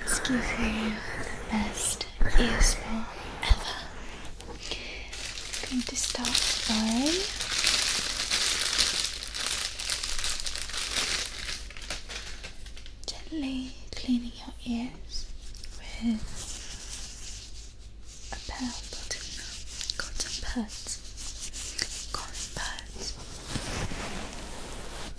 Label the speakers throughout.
Speaker 1: Let's give you the best ear spa ever. I'm going to start by gently cleaning your ears with a pair of cotton, cotton Cotton pads.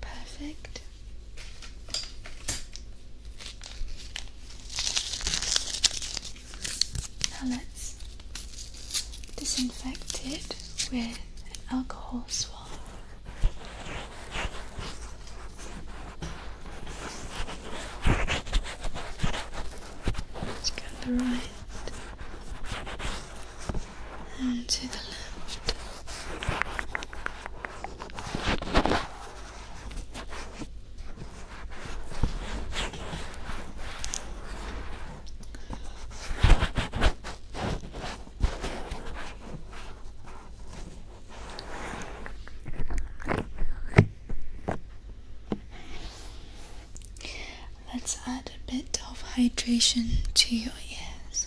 Speaker 1: perfect. Now let's disinfect it with an alcohol swab. Let's get the right and to the left. Let's add a bit of hydration to your ears.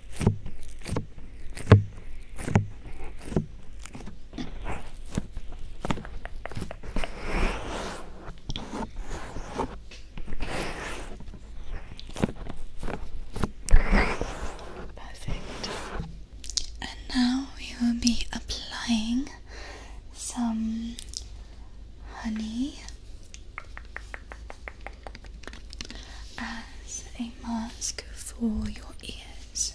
Speaker 1: Perfect. And now we will be applying some honey as a mask for your ears.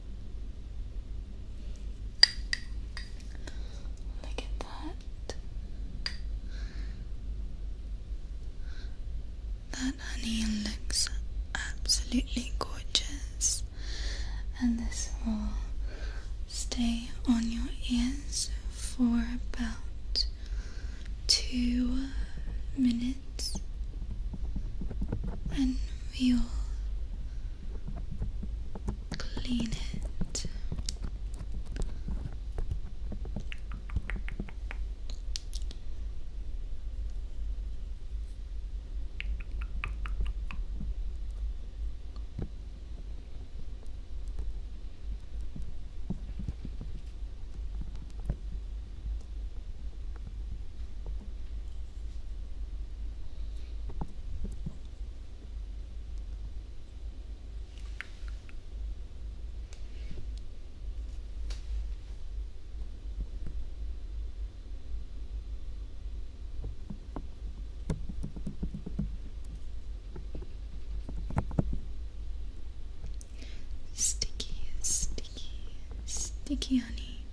Speaker 1: Look at that. That honey looks absolutely gorgeous, and this will stay on your ears for about two minutes, and we will clean it. Sticky, sticky, sticky honey.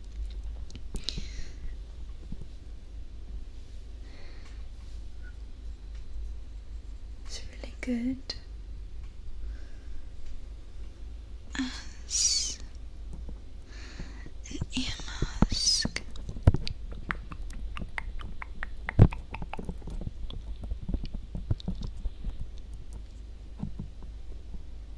Speaker 1: It's really good. As an ear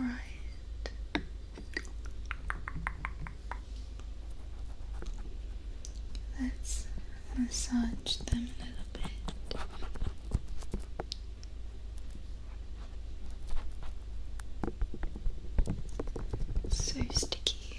Speaker 1: All right. Let's massage them a little bit. So sticky.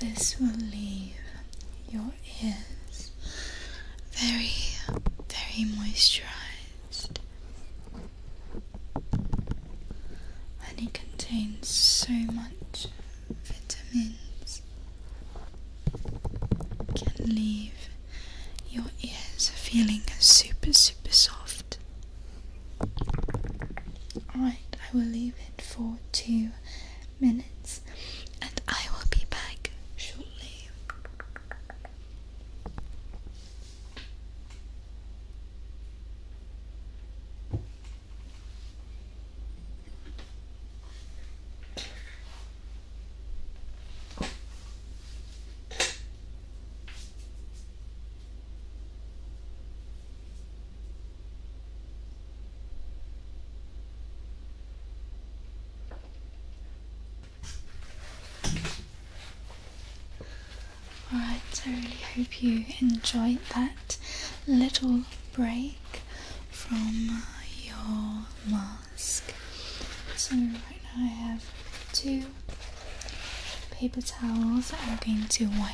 Speaker 1: This will leave your ears very, very moisturized. And it contains so much vitamins, it can leave your ears feeling super, super soft Alright, I will leave it for two minutes and I will be back shortly. Alright, I really hope you enjoyed that little break from your mask. So, right now I have two paper towels I'm going to wipe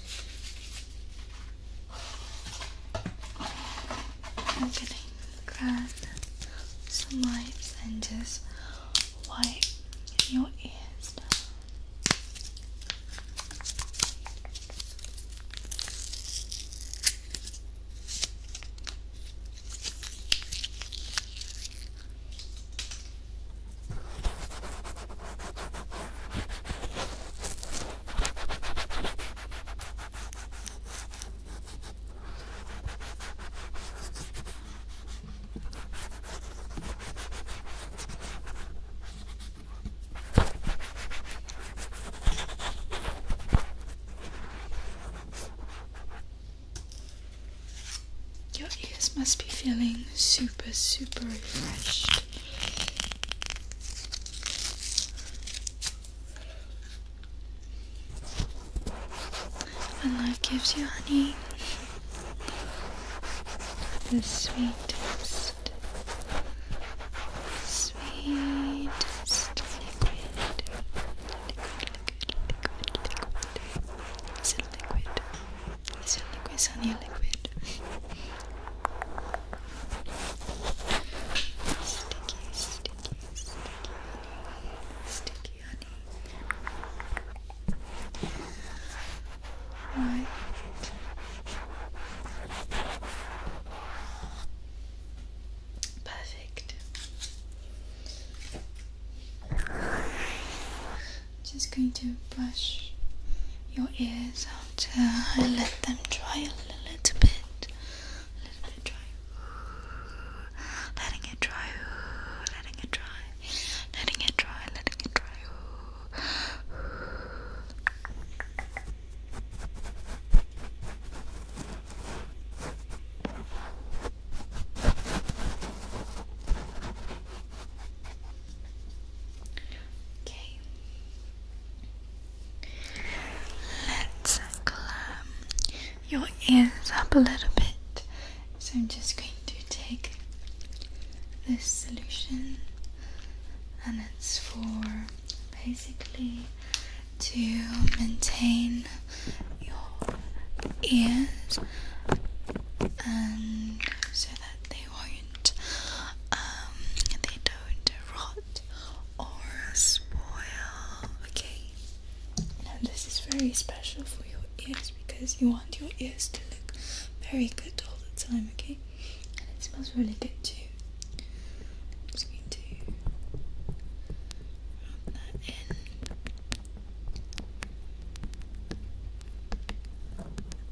Speaker 1: I'm gonna grab some wipes and just wipe your ears your ears must be feeling super, super refreshed. When life gives you honey, the sweetest, sweetest liquid, liquid, liquid, liquid, liquid. Is it liquid? It's a liquid, it's a liquid. Sticky, sticky, sticky Sticky honey. Perfect just going to brush your ears after I let them dry a little bit. Letting it dry. Letting it dry. Letting it dry. Letting it dry. Okay. Let's clam your ears up a little bit. So I'm just going to take this solution and it's for basically to maintain your ears and so that they they won't um they don't rot or spoil. Okay. Now this is very special for your ears because you want your ears to look very good all the time, okay? And it smells really good too. just going to rub that in.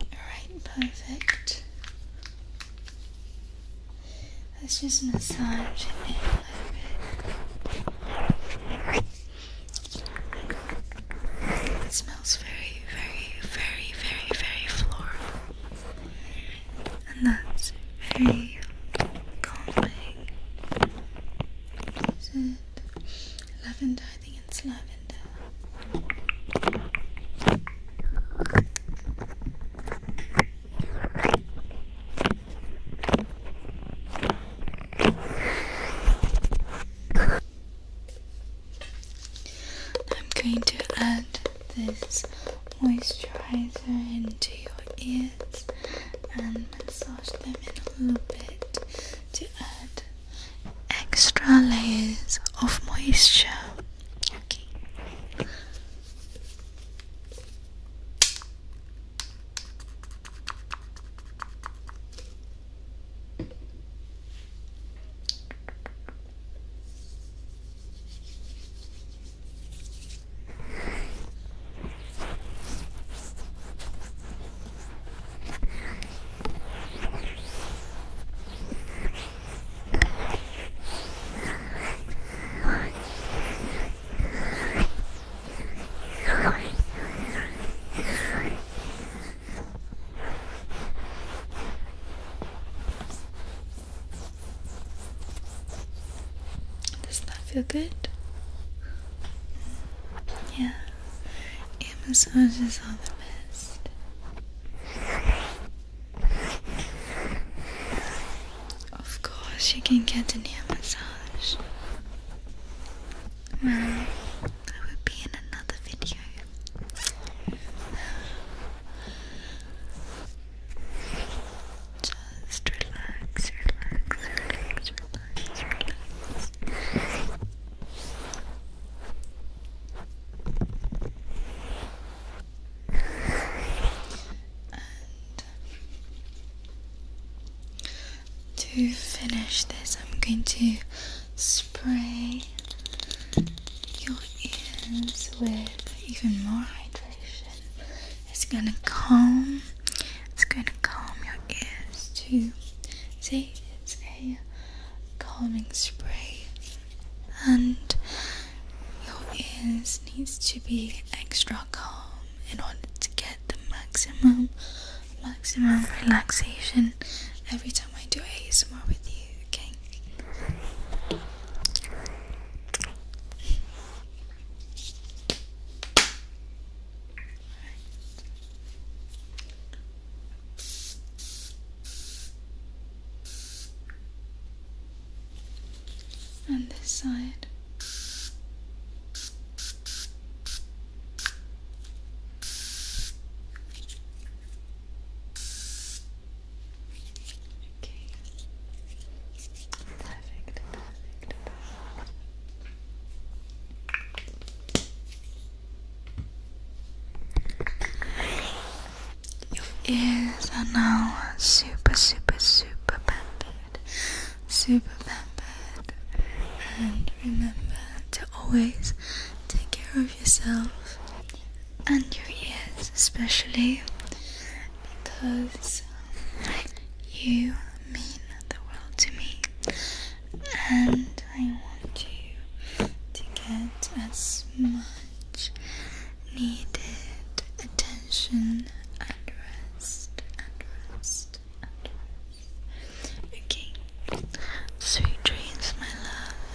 Speaker 1: Alright, perfect. Let's just massage it a little bit. It smells very, very, very, very, very floral. And that's very calming lavender? I think it's lavender. I'm going to add this moisturizer into your ear and massage them in a little bit to add extra layers of moisture. Okay. Does that feel good? Yeah, air massages are the best. Of course, you can get an ear massage. Well, that would be in another video. Just relax, relax, relax, relax, relax. And to finish this, I'm going to spray your ears with even more hydration. It's gonna calm. It's gonna calm your ears too. See, it's a calming spray, and your ears needs to be extra calm in order to get the maximum, maximum relaxation every time I do ASMR with you. Okay. And this side. Okay. Your ears are now super, super, super pampered, super pampered. And remember to always take care of yourself and your ears, especially because you mean the world to me and I want you to get as much needed attention and rest and rest and rest. Okay. Sweet dreams, my love.